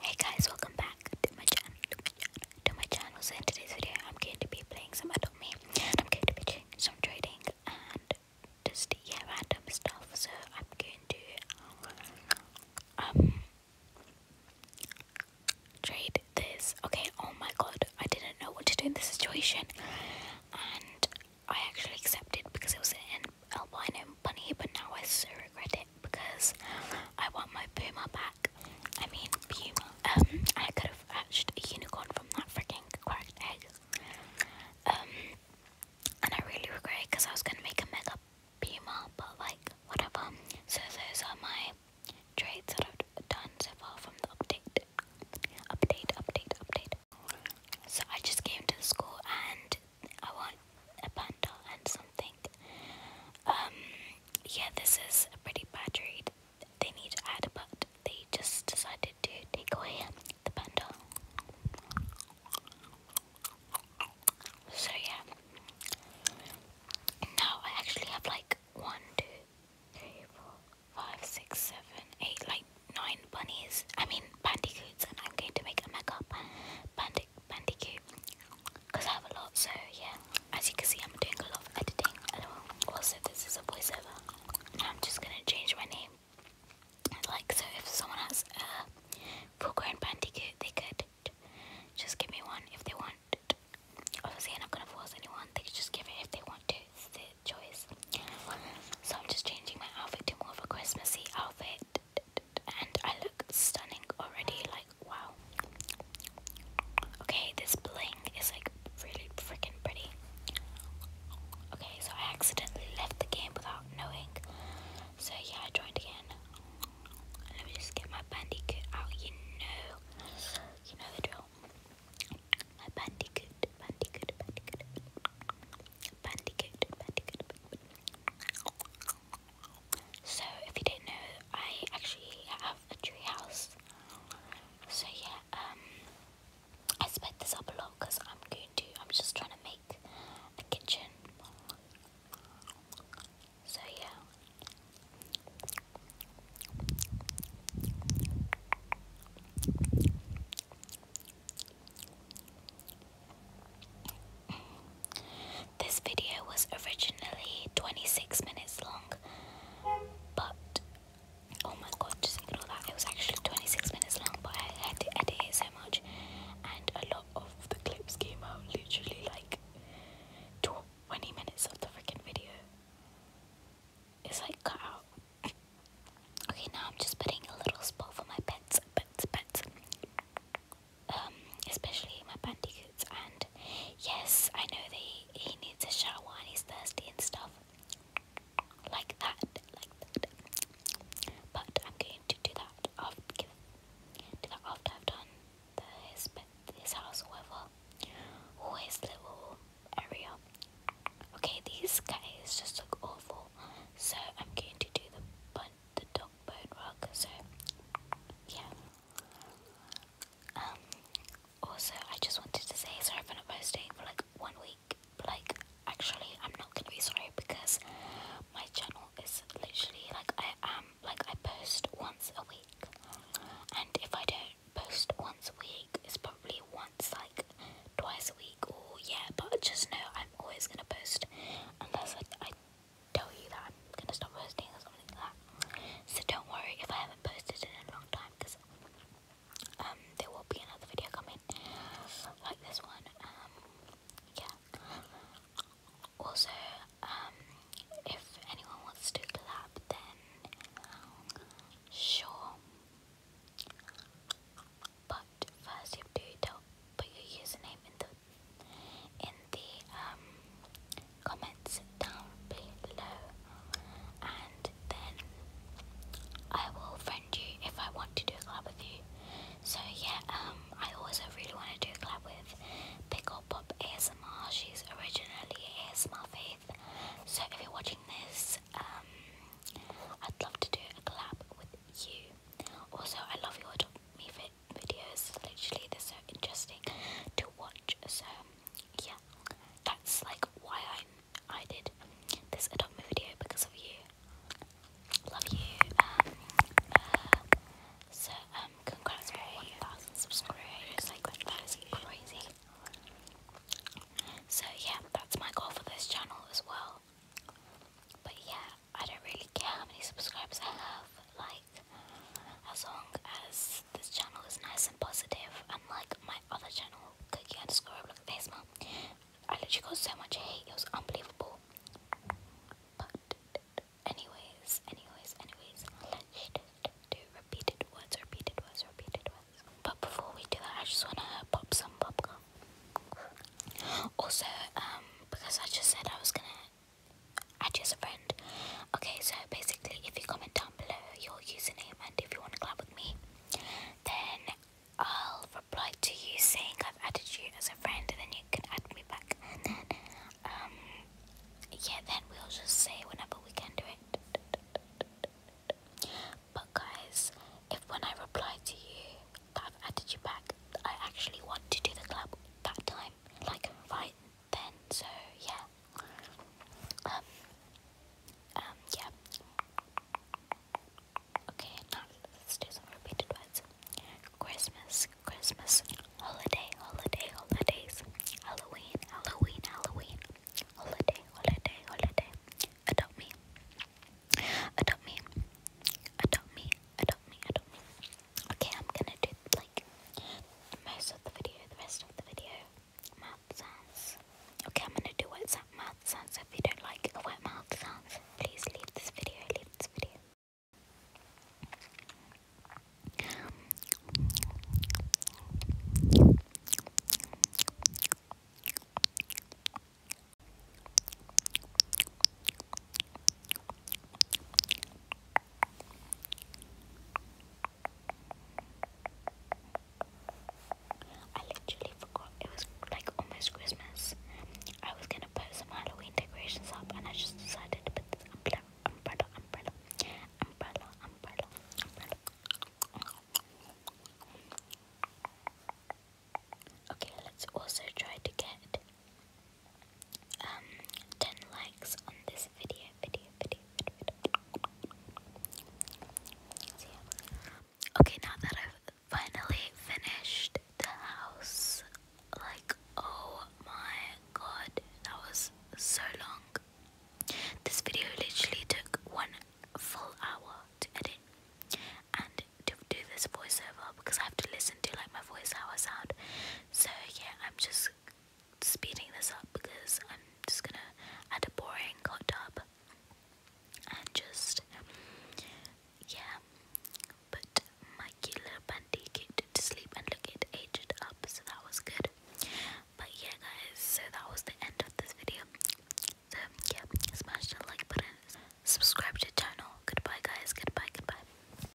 Hey guys, welcome back to my channel, to my channel, So in today's video, I'm going to be playing some Adult Me, and I'm going to be doing some trading and just yeah, random stuff. So I'm going to um trade this. Okay. Oh my god, I didn't know what to do in this situation, and I actually accepted because it was an albino bunny, but now I so regret it because I want my boomer back. I mean, puma. Um, I could have hatched a unicorn from that freaking cracked egg. Um, and I really regret it because I was gonna make a mega puma, but like, whatever. So, those are my trades that I've done so far from the update update, update, update. So I just came to the school and I want a bundle and something. Um, yeah, this is a pretty bad trade. They need to add, but they just decided to take away the bundle. So yeah. Now I actually have like one, two, three, four, five, six, seven, eight, like nine bunnies. I mean bandicoots, and I'm going to make a mega bandic bandicoot because I have a lot. So yeah, as you can see, I'm doing a lot of editing. Um, also, this is a voiceover. I'm just gonna change my name. Like so, if someone has a full-grown bandicoot, they could just give me one if they want. Obviously, I'm not gonna force anyone. They can just give it if they want to. It's their choice. So I'm just changing my outfit to more of a Christmasy outfit, and I look stunning already. Like wow. Okay, this bling is like really freaking pretty. Okay, so I accidentally left the game without knowing. So yeah, I joined again. Let me just get my bandicoot out, you know. You know the drill. So, if you didn't know, I actually have a tree So yeah, um, I sped this up a lot because I'm going to. I'm just trying to make the kitchen. So, yeah. This video was originally 26 minutes long, but oh my god, just ignore that. It was actually 26 minutes long, but I had to edit it so much, and a lot of the clips came out literally like 20 minutes of the freaking video is like cut out. okay, now I'm just putting a little spot for my pets, pets, pets. Um, especially my bandicoots, and yes, I know they he needs a shower when he's thirsty and stuff like that, like that. But I'm going to do that after, do that after I've done the, his, his house, whoever, or his area. Okay, these guys just look awful, so I'm going to do the bun, the dog bone rug. So, yeah. Um, also, I just wanted to say sorry for not posting for like one week. like, actually, I'm not gonna be sorry because my channel is literally like I am like I post once a week, and if I don't post once a week, it's probably once like twice a week or yeah. But just know I'm always gonna post unless I, I tell you that I'm gonna stop posting or something like that. So don't worry if I haven't posted in a long time because um there will be another video coming it. Like this one. Um, yeah. Also, um, if anyone wants to collab, then sure. But first, you have to put your username in the in the um, comments down below, and then I will friend you if I want to do a collab with you. So yeah, um, I also really want to do a collab with Pickle Pop ASMR. She's originally ASMR Faith. So if you're watching this, um, I'd love to do a collab with you. Also, I love your Me Fit videos. Literally, they're so interesting to watch. So yeah, that's like why I am I did this Adopt Me video because of you. Love you. Um, uh, so, um, congrats for 1,000 subscribers. that is crazy. So, yeah, that's my goal for this channel as well. But, yeah, I don't really care how many subscribers I have. Like, as long as this channel is nice and positive, unlike my other channel, Cookie underscore Roblox I literally got so much hate, it was unbelievable. But anyways, anyways, anyways, let's do repeated words, repeated words, repeated words. But before we do that, I just wanna pop some popcorn. Also, um, because I just said I was gonna add you as a friend. Okay, so basically, if you comment down below your username and if you wanna collab with me, then I'll reply to you saying I've added you as a friend, and then you can add me back. And then, um, yeah, then we'll just say whenever we can do it. But guys, if when I reply to you that I've added you back, I actually want to do the club that time, like right then. So yeah, um, yeah. Okay, now let's do some repeated words. Christmas, Christmas, holiday, holiday, holidays, Halloween, Halloween, Halloween, holiday, holiday, holiday, adopt me, adopt me, adopt me, adopt me, adopt me. Okay, I'm gonna do like most of the video, the rest of the video Math sounds. Okay, I'm gonna do wet mouth sounds. if you don't like wet mouth sounds, please leave this video. Leave this video. I literally forgot it was like almost Christmas. I was gonna put some Halloween decorations up, and I just decided to put this umbrella, umbrella, umbrella, umbrella, umbrella, Okay, let's also try to get um, ten likes on this video. Okay, now that I've finally finished the house, like, oh my god, that was so long. This video literally took one full hour to edit and to do this voiceover because I have to listen to like my voice how I sound. So yeah, I'm just speeding this up because I'm just gonna add a boring hot tub and just yeah put my cute little bunty kid to sleep and look it aged up so that was good but yeah guys so that was the end of this video so yeah smash the like button subscribe to the channel goodbye guys goodbye goodbye